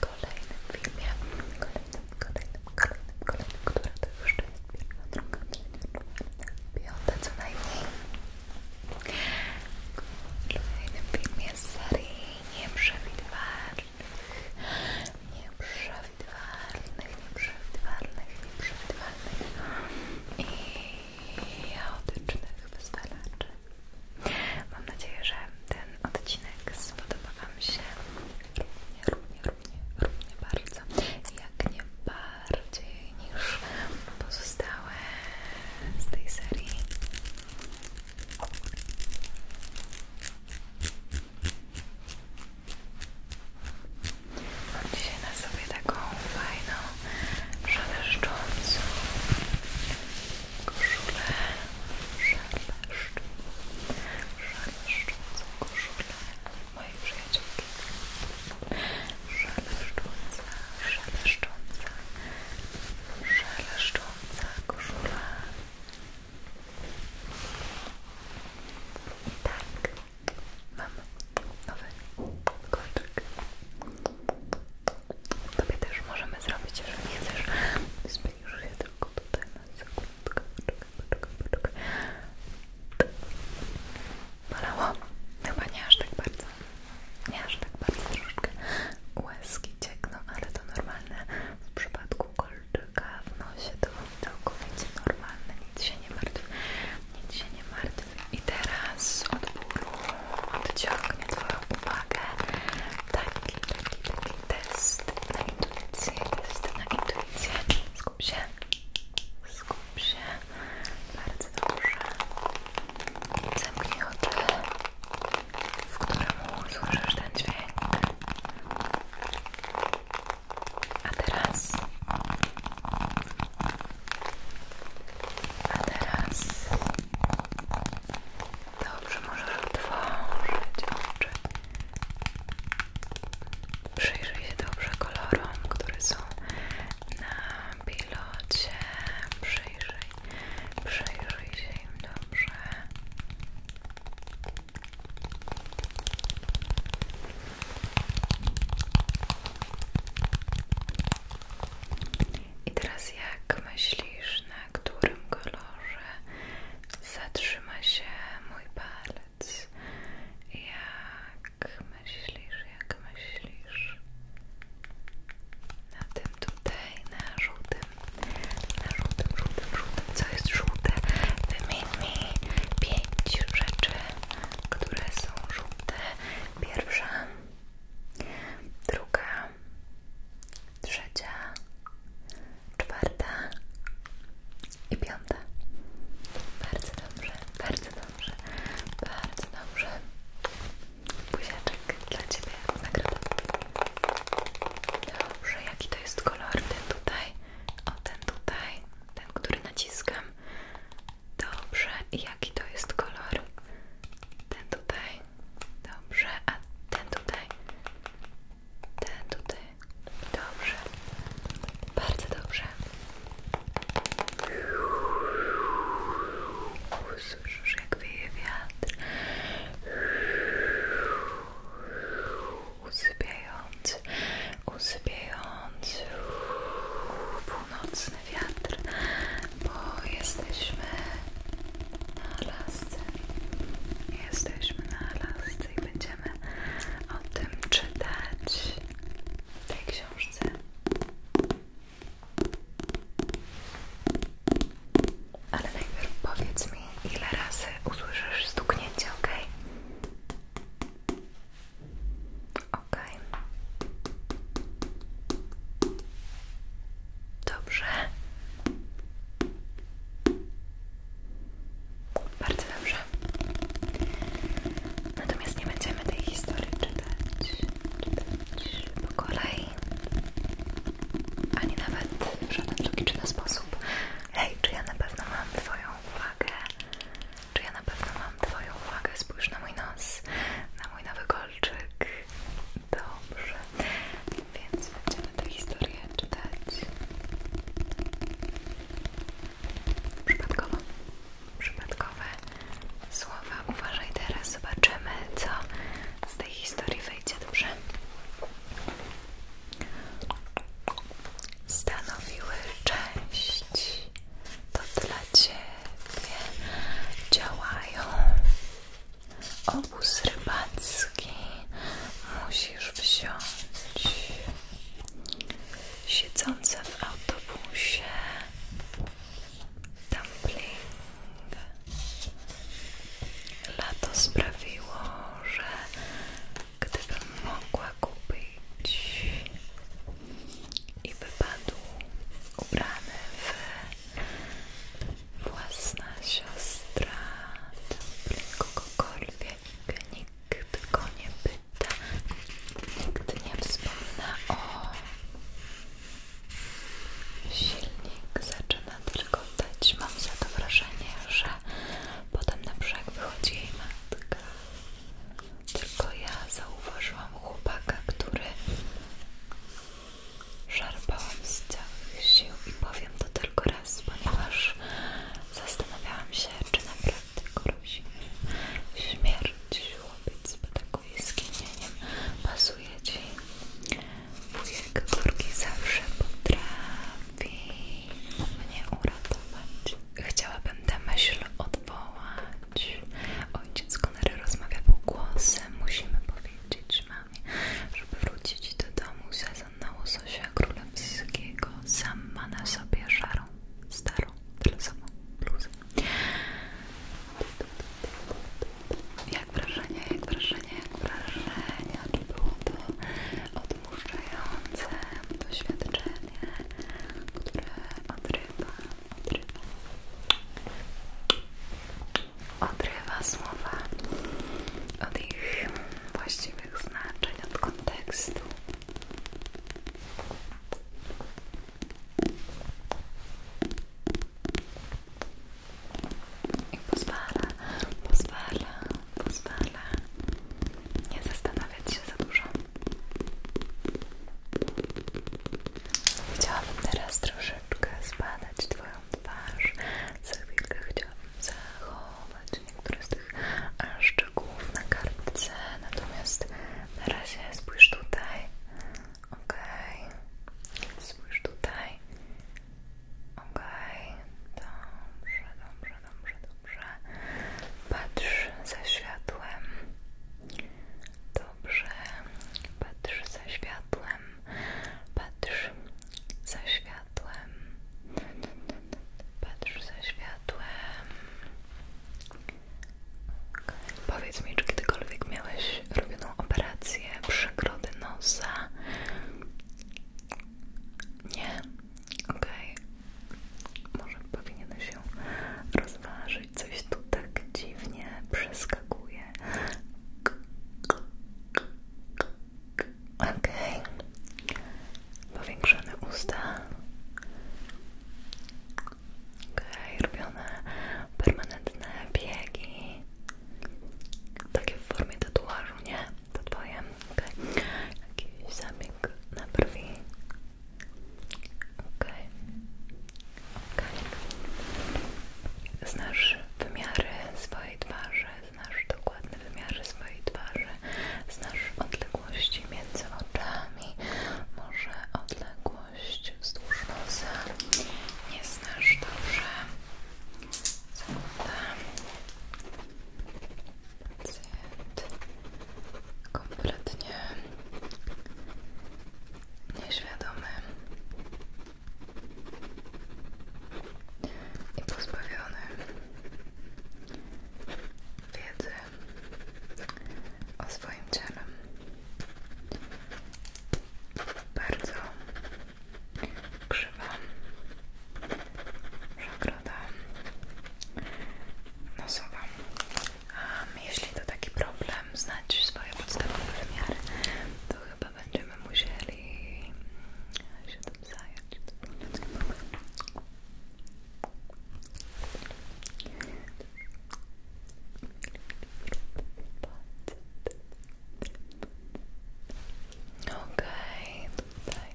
kolejnym filmie, kolejnym, kolejnym, kolejnym, kolejnym, która to już jest pierwsza, druga, piąta co najmniej. Kolejnym filmie serii nieprzewidywalnych, nieprzewidywalnych, nieprzewidywalnych, nieprzewidywalnych i chaotycznych wyzwalaczy. Mam nadzieję, że ten odcinek spodoba Wam się równie, równie, równie, równie bardzo, jak nie bardziej niż pozostałe z tej serii. Mam dzisiaj na sobie taką fajną, szaleszczącą koszulę szeleszcz szeleszczącą koszulę mojej przyjaciółki szeleszcząca, szeleszcząca szeleszcząca koszula i tak mam nowy kolczyk Tobie też możemy zrobić, jeżeli nie chcesz. Zbliż się tylko tutaj na sekundkę. Poczekaj, poczekaj, poczekaj. Bolało? Chyba nie aż tak bardzo. Nie aż tak bardzo, troszkę łezki ciekną, ale to normalne. W przypadku kolczyka w nosie to całkowicie normalne. Nic się nie martw. Nic się nie martw. I teraz od bólu odciągnie Twoją uwagę taki, taki, taki test na intuicję, test na intuicję. Skup się, skup się, bardzo dobrze. Zamknij oczy, w którym usłyszysz ten dźwięk. A teraz... A teraz Dobrze, możesz otworzyć oczy. Przyjrzyj się dobrze kolorom, które są na pilocie. Przyjrzyj, przyjrzyj się im dobrze. I teraz jak myślisz, na którym kolorze zatrzyma się mój palec? Jak myślisz, jak myślisz? Na tym tutaj, na żółtym, na żółtym, żółtym, żółtym. Co jest żółte? Wymień mi pięć rzeczy, które są żółte. Pierwsza druga, trzecia, czwarta i piąta. Bardzo dobrze, bardzo dobrze, bardzo dobrze. Buziaczek dla Ciebie nagroda. Dobrze, jaki to jest kolor? Ten tutaj, o ten tutaj, ten, który naciskam. Dobrze, jaki to jest kolor? Ten tutaj. Dobrze, a ten tutaj. Ten tutaj. Dobrze. Bardzo dobrze. Słyszysz, jak wieje wiatr. Usypiający, usypiający północny wiatr, bo jesteśmy na Alasce. Jesteśmy na Alasce i będziemy o tym czytać w tej książce. Ale najpierw powiedz mi, ile razy usłyszysz stuknięcie, ok? Ok. Dobrze. Bardzo dobrze. Natomiast nie będziemy tej historii czytać, czytać po kolei, ani nawet w żaden logiczny sposób. Hej, czy ja na pewno mam Twoją uwagę? Czy ja na pewno mam Twoją uwagę? Spójrz na mój nos, mój nowy kolczyk. Dobrze, więc będziemy tę historię czytać przypadkowo. Przypadkowe słowa. Uważaj teraz, zobaczymy, co z tej historii wyjdzie. Dobrze. Stanowiły część to dla Ciebie działają. Obóz rybacki musisz wziąć. Siedzące w autobusie dumpling. Lato sprawiło, że gdybym mogła kupić i wypadł ubrany w własna siostra, kogokolwiek, nikt go nie pyta, nikt nie wspomina o silnik, zaczyna tylko dać, mam za to wrażenie, że potem na brzeg wychodzi jej matka. Tylko ja zauważyłam chłopaka, który szarpałam z całych sił i powiem to tylko raz, ponieważ zastanawiałam się, czy naprawdę grozi śmierć chłopiec z patakuj skinieniem pasuje Ci wujek górki zawsze potrafi mnie uratować chciałabym tę myśl odwołać Ojciec Konary rozmawia półgłosem. Musimy powiedzieć mamie, żeby wrócić do domu. Sezon na łososia królewskiego sam ma na sobie szarą, starą, tylesową bluzę. Jak wrażenie, jak wrażenie, jak wrażenie, czy było to odmurzające doświadczenie, które odrywa Odrywa słowa od ich właściwych znaczeń, od kontekstu. I pozwala, pozwala, pozwala nie zastanawiać się za dużo. Chciałabym teraz troszeczkę zbadać Twoją twarz. Za chwilkę chciałabym zachować niektóre z tych szczegółów na kartce, natomiast na razie spójrz tutaj. ok, Okay. Spójrz tutaj. ok, Okay. Dobrze, dobrze, dobrze, dobrze. Patrz za światłem. Dobrze, patrz za światłem, patrz za światłem, patrz za światłem. Powiedz mi, czy kiedykolwiek miałeś robioną operację przegrody nosa? Nie? ok. Może powinien się rozważyć. Coś tu tak dziwnie przeskakuje. ok Powiększone usta. ok robione permanentne biegi. Takie w formie tatuażu, nie? To twoje. Okay. Jakiś zabieg na brwi. Okej. Okay. Okay. Znasz wymiary swojej twarzy, znasz dokładne wymiary swojej twarzy, znasz odległości między oczami, może odległość wzdłuż nosa. Nie znasz dobrze. Zgoda kompletnie nieświadomy i pozbawiony wiedzy o swoim ciele. Bardzo krzywa przegroda nosowa. A jeśli to taki problem, znać swoje podstawowe wymiary, to chyba będziemy musieli się to zająć. Okej, tutaj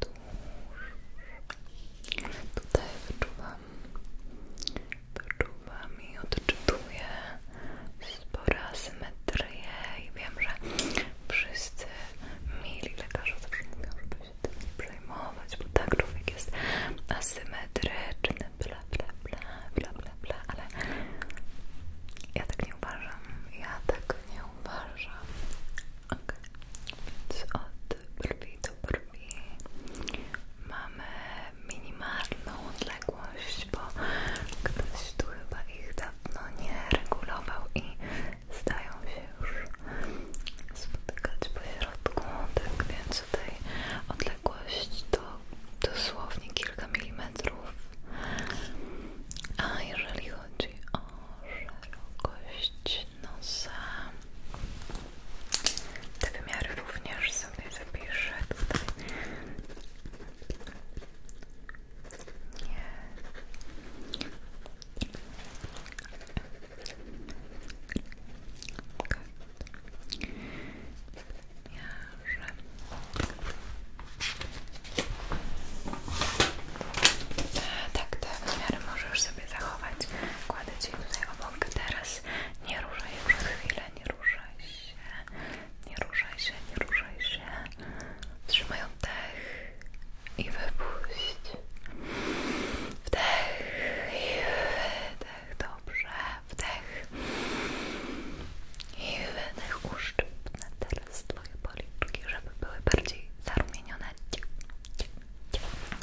tuż. Tutaj wyczuwam, wyczuwam i odczytuję spora asymetrię i wiem, że wszyscy mili lekarze zawsze mówią, żeby się tym nie przejmować, bo tak człowiek jest asymetryczny, bla bla bla bla bla bla, ale ja tak nie uważam, ja tak nie uważam. Ok, więc od brwi do brwi mamy minimalną odległość, bo ktoś tu chyba ich dawno nie regulował i zdają się już spotykać po środku, tak więc tutaj odległość to dosłownie kilka milimetrów. A jeżeli chodzi o szerokość, jedno z te wymiary również sobie zapiszę tutaj tak, te tak, wymiary możesz sobie zachować. Kładę Cię tutaj obok. Teraz nie ruszaj przez chwilę, nie ruszaj się, nie ruszaj się, nie ruszaj się. Trzymaj oddech i wypuść. Wdech i wydech. Dobrze, wdech i wydech. Uszczypnę teraz Twoje policzki, żeby były bardziej zarumienione.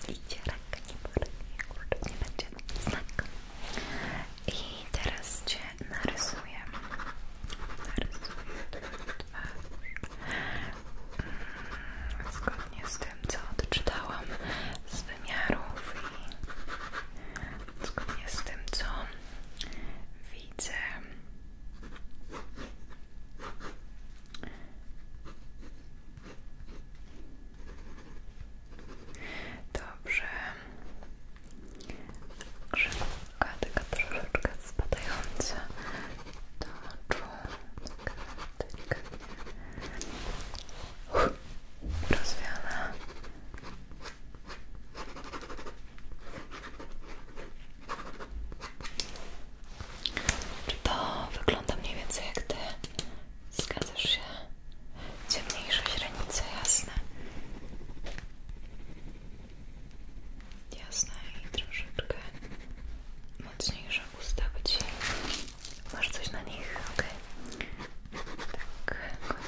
Idzie ręka, nie boli, nie będzie znak. I teraz Cię narysuję. Narysuję twarz. Mm, zgodnie z tym, co odczytałam z wymiarów i zgodnie z tym, co widzę. Dobrze. Grzywka taka troszeczkę spadająca do oczu. Taka delikatnie rozwiana. Czy to wygląda mniej więcej jak ty? Zgadzasz się? Ciemniejsze źrenice, jasne. Jasne i troszeczkę mocniejsze usta by ci. Masz coś na nich, ok? Tak,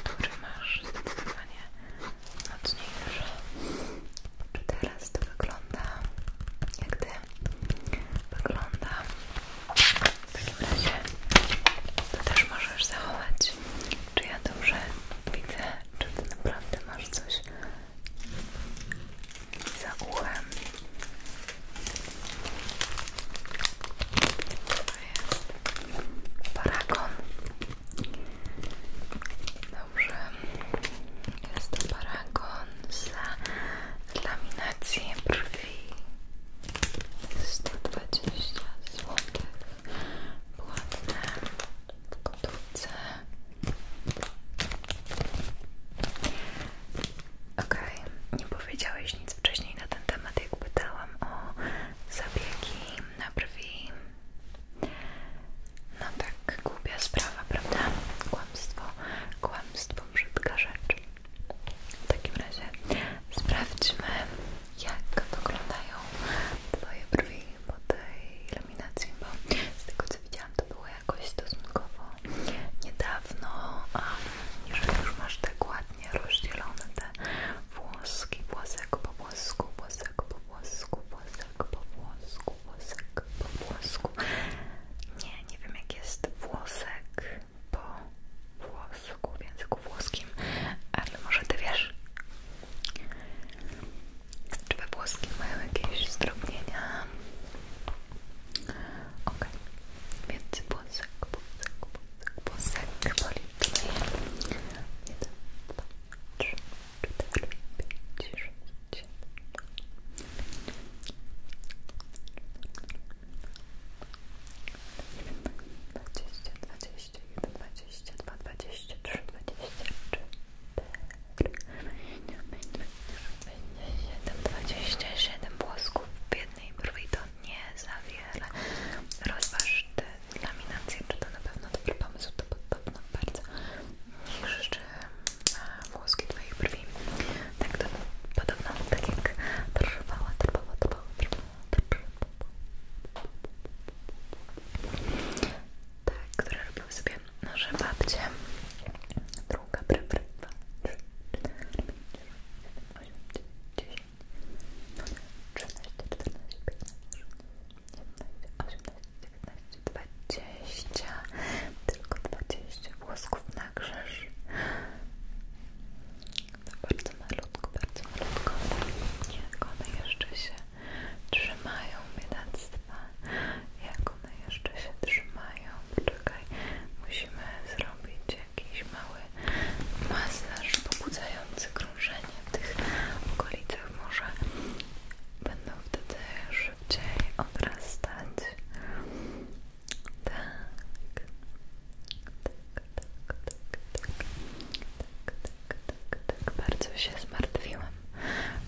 kontury masz zdecydowanie no mocniejsze. Czy teraz to wygląda jak ty? Wygląda. W takim razie to też możesz zachować. Czy ja dobrze widzę? Czy ty naprawdę masz coś za uchem? To jest paragon. Dobrze. Jest to paragon dla laminacji brwi. 120 zł. Płatne w gotówce. Ok, nie powiedziałeś nic wcześniej na ten temat, jak pytałam o zabiegi na brwi no tak, głupia sprawa, prawda? Kłamstwo, kłamstwo, brzydka rzecz. W takim razie sprawdźmy, jak wyglądają Twoje brwi po tej iluminacji, bo z tego co widziałam, to było jakoś stosunkowo niedawno. A jeżeli już masz tak ładnie rozdzielone te włoski, włosek po włosku, włosek po włosku, włosek po włosku, włosek po włosku. Nie, nie wiem jak jest włosek po włosku w języku włoskim, ale może ty wiesz. Czy we włoskim mają jakieś zdrobnienia? Ok, więc włosek, włosek, włosek, włosek, policzmy. nie 2, 3, 4, 4, 5, 6, 7, 20, 21, 22, 23, 24, 27 włosków w jednej brwi to nie za wiele. Rozważ te laminacje, czy to na pewno dobry pomysł, to podobno bardzo nie krzyczę e, włoski Twoich brwi. Tak to podobno, tak jak trwała, trwała, trwała, trwała, trwała. Tak, które robiły sobie nasze babcie. Druga, prawa, dwa, trzy, cztery, pięć, osiem, dziewięć, 12, 14, 14, 15, 16, 17, 18, 19, 20, 21, 22, 23, 24, 25, 26, 27, 28, 29, 30, 31, 32, 33, 34, 35, 36, 37, 38, 39, 19, 20, tylko 20 włosków na grzesz. Bardzo malutko, bardzo malutko. Jak one jeszcze się trzymają, biedactwa. Jak one jeszcze się trzymają. Poczekaj, musimy zrobić jakiś mały masaż pobudzający krok krążenie w tych okolicach może będą wtedy szybciej odrastać. Tak. Tak, tak, tak, tak. Tak, tak, tak, tak. Bardzo się zmartwiłam.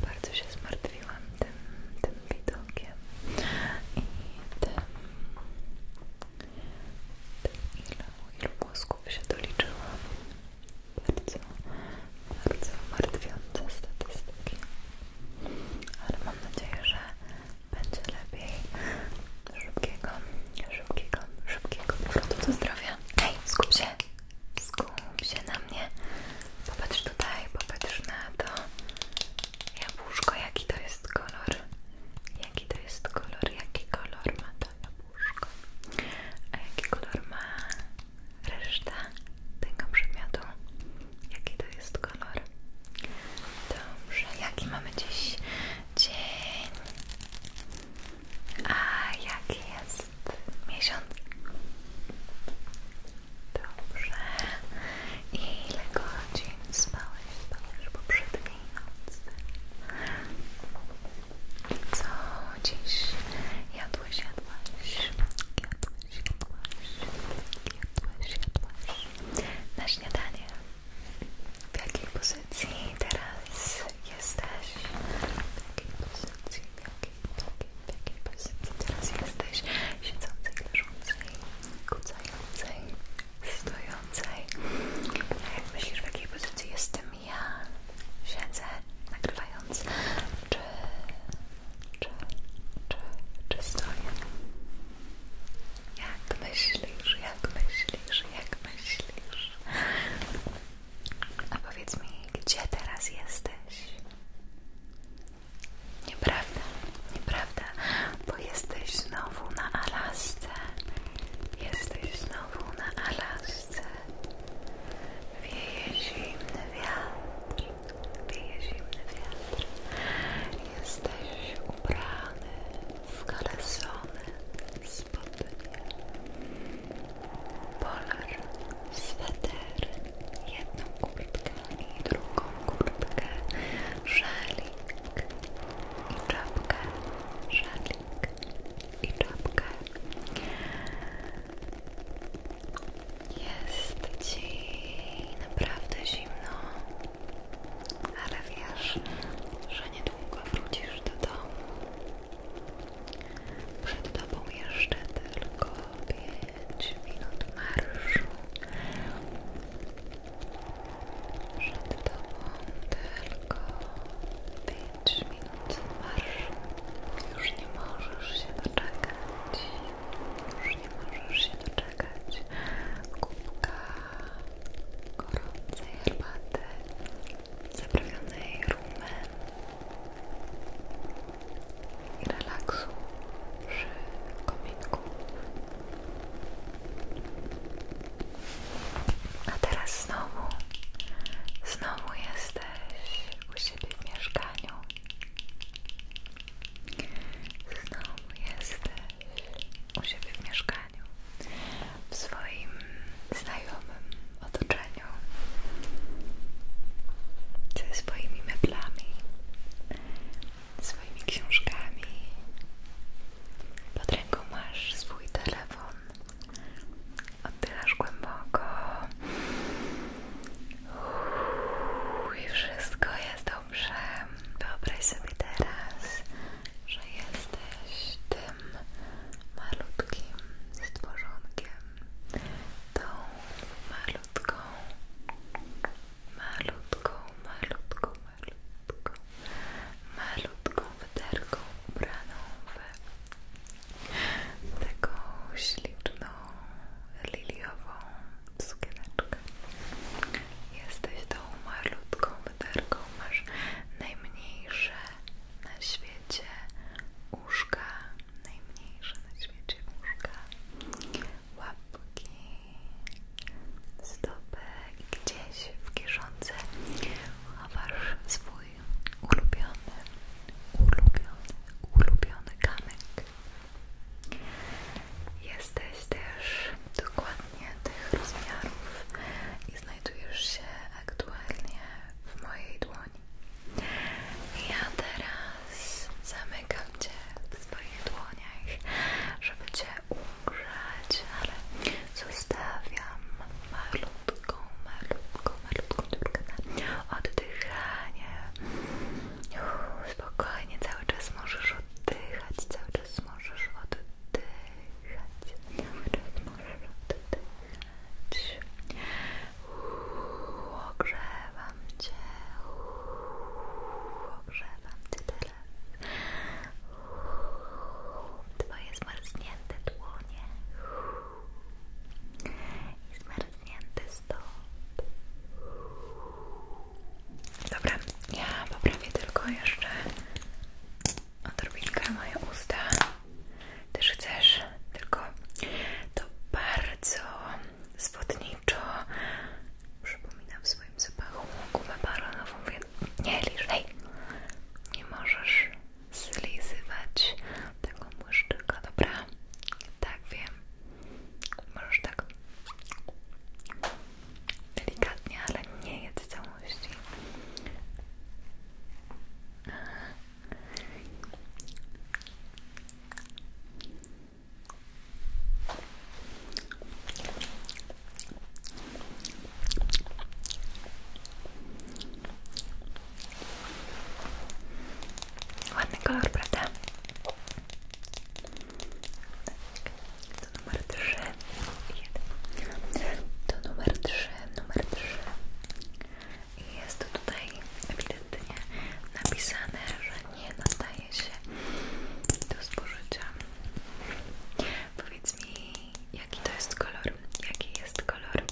Bardzo się zmartwiłam tym, tym widokiem i tym, ile, ilu włosków się doliczyłam bardzo, bardzo martwiące statystyki ale mam nadzieję, że będzie lepiej szybkiego, szybkiego, szybkiego powrotu do zdrowia hej, skup się skup się na mnie popatrz tutaj, popatrz na to jabłuszko, jaki to jest kolor jaki to jest kolor, jaki kolor ma to a jaki kolor ma reszta tego przedmiotu? Jaki to jest kolor? Dobrze, jaki mamy dziś dzień? A jaki jest miesiąc? Dobrze. I ile godzin spałeś, spałeś poprzedniej nocy? Co dziś jadłeś, jadłaś? Jadłeś, jadłaś? Jadłeś, jadłaś? Na śniadanie. W jakiej pozycji teraz jesteś? W jakiej pozycji, w jakiej, w jakiej, w jakiej pozycji teraz jesteś? Siedzącej, leżącej, kucającej, stojącej. Jak myślisz, w jakiej pozycji jestem ja siedzę nagrywając, czy, czy, czy, czy stoję? Jak myślisz, jak myślisz, jak myślisz? A powiedz mi, gdzie teraz jesteś? Nieprawda, nieprawda, bo jesteś znowu na Alasce. Jesteś znowu na Alasce. Polsce wieje zimny wiatr, wieje zimny wiatr. Jesteś ubrany w kalesony, spodnie, polar, sweter, jedną kurtkę i drugą kurtkę, szalik i czapkę, szalik i czapkę. Jest ci naprawdę zimno, ale wiesz, że niedługo wrócisz do domu. Przed tobą jeszcze tylko pięć minut marszu. Przed tobą tylko 5 5 minut marszu. Już nie możesz się doczekać. Już nie możesz się doczekać. Kubka gorącej herbaty zaprawionej rumem i relaksu przy kominku. A teraz znowu, znowu jesteś u siebie w mieszkaniu. Znowu jesteś u siebie w mieszkaniu, w swoim znajomym otoczeniu, ze swoimi meblami, swoimi książkami. Pod ręką masz swój telefon Oddychasz głęboko Uuu, i wszystko jest dobrze. Wyobraź sobie teraz, że jesteś tym malutkim stworzonkiem, tą malutką, malutką, malutką, malutką, malutką wyderką ubraną w taką śliczną, liliową sukieneczkę. Jesteś tą malutką wyderką, masz najmniejsze na świecie uszka, najmniejsze na świecie uszka, łapki, stopy i gdzieś w kieszonce chowasz swój mój ulubiony, ulubiony, ulubiony kamyk. Jesteś też dokładnie tych rozmiarów i znajdujesz się aktualnie w mojej dłoni. Ja teraz zamykam Cię w swoich dłoniach, żeby Cię umrzeć, ale Zostawiam malutką, malutką, malutką dziurkę oddychanie. spokojnie, cały czas możesz oddychać, cały czas możesz oddychać, cały czas możesz oddychać. ogrzewam Cię, ogrzewam Cię teraz. Twoje zmarznięte dłonie i zmarznięty stąd. Dobra, ja poprawię tylko jeszcze odrobinkę moje usta. Też tylko to bardzo zwodniczo przypominam w swoim zapachu gumę baronową, więc nie lisz, nie możesz zlizywać tego błyszczyka, dobra? Tak, wiem. Możesz tak delikatnie, ale nie jedz całości. Ładny kolor, To numer 3. To numer 3, numer 3. I jest to tutaj ewidentnie napisane, że nie nadaje się do spożycia. Powiedz mi, jaki to jest kolor? Jaki jest kolor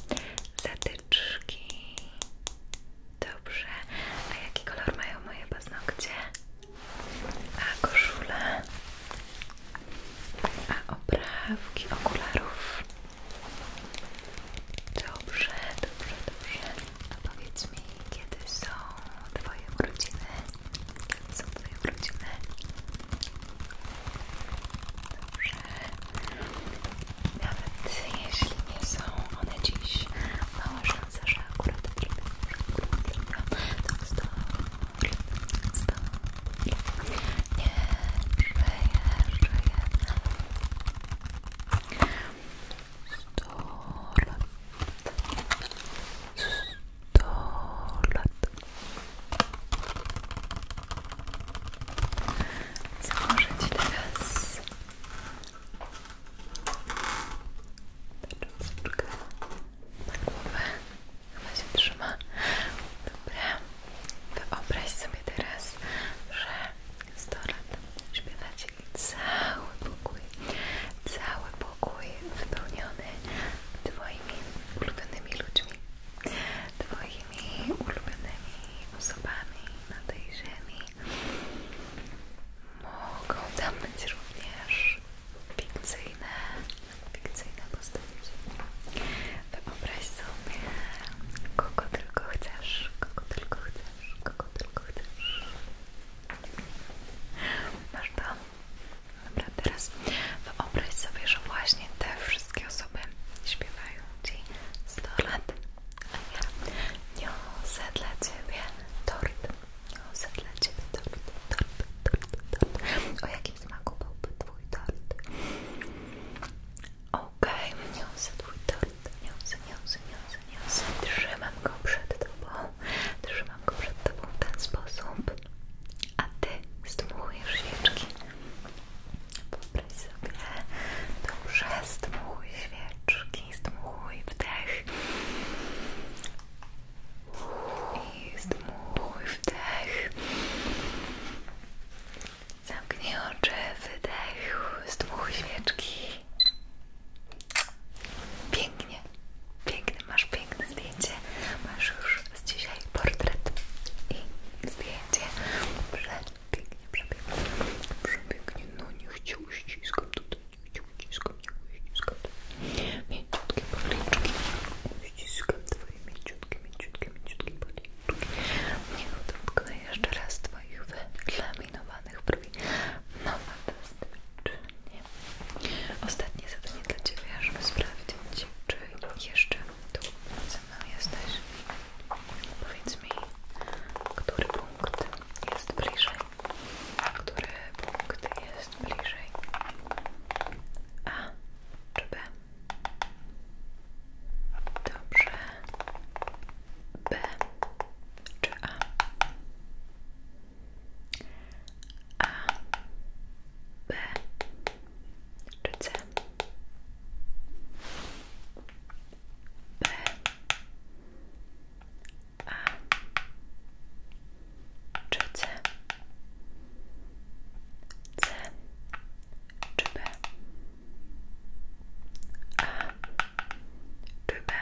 zatyczki? Dobrze. A jaki kolor mają moje paznokcie? A koszula? A oprawki okularów? Dobrze, dobrze, dobrze. A powiedz mi, kiedy są Twoje urodziny? Są twoje urodziny? Dobrze. Nawet jeśli nie są one dziś, mała szansa, że akurat trudno, to jest to, tak, nie, żyję, żyję, sto lat, sto do lat. Założę Ci teraz troszeczkę na głowę, ona się trzyma. Dobra, wyobraź sobie teraz, że 100 lat śpiewacie cały pokój, cały pokój wypełniony Twoimi ulubionymi ludźmi, Twoimi ulubionymi osobami na tej ziemi. Mogą tam być również fikcyjne, fikcyjne postaci. Wyobraź sobie, kogo tylko chcesz, kogo tylko chcesz, kogo tylko chcesz. Masz to? Dobra, teraz wyobraź sobie, że właśnie te wszystkie osoby śpiewają Ci 100 lat, a ja niosę dla Ciebie tort, niosę dla Ciebie tort, tort, tort, tort. O jaki smaku byłby Twój tort? Okej, okay. niosę Twój tort, niosę, niosę, niosę, niosę, trzymam go przed Tobą, trzymam go przed Tobą w ten sposób, a ty zdmuchujesz świeczki. Wyobraź sobie, dobrze, zdmuchuj świeczki, zdmuchuj wdech i zdmuchuj wdech. Zamknij oczy, wydech, zdmuchuj świeczki. Pięknie pięknie, piękny, masz piękne zdjęcie, masz już z dzisiaj portret i zdjęcie, pięknie, przepięknie, przepięknie, no nie chciał uściskam tutaj, nie chciał uściskam nie uściskam, mięciutkie policzki, uściskam twoje mięciutkie, mięciutkie, mięciutkie policzki, niech dotknę jeszcze raz twoich wylaminowanych brwi, no fantastycznie. Ostatnie zadanie dla Ciebie, żeby sprawdzić, czy jeszcze tu ze mną jesteś. Powiedz mi, który punkt jest bliżej? Który punkt jest bliżej? A czy B? Dobrze. B czy A? A, B czy C? B, A czy C? C B? A czy B?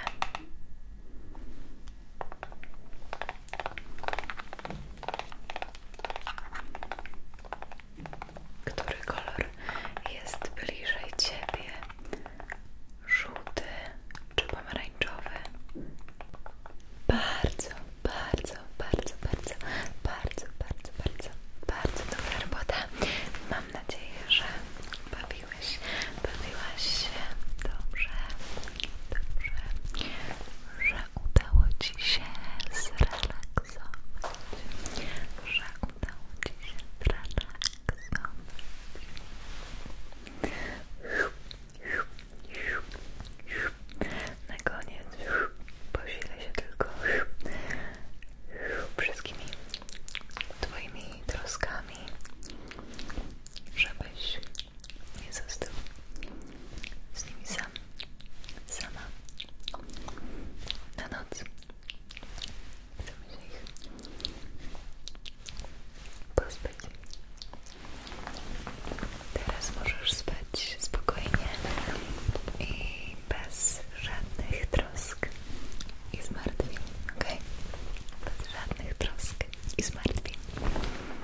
Który kolor jest bliżej ciebie? Żółty czy pomarańczowy? Bardzo, bardzo, bardzo, bardzo, bardzo, bardzo, bardzo, bardzo dobra robota. Mam nadzieję, że bawiłeś, bawiłaś się dobrze że udało Ci się zrelaksować, że udało Ci się zrelaksować. Na koniec posilę się tylko wszystkimi Twoimi troskami, żebyś nie został z nimi sam, sama na noc. Chcemy się ich Teraz możesz spać spokojnie i bez żadnych trosk i zmartwień, ok? Bez żadnych trosk i zmartwień.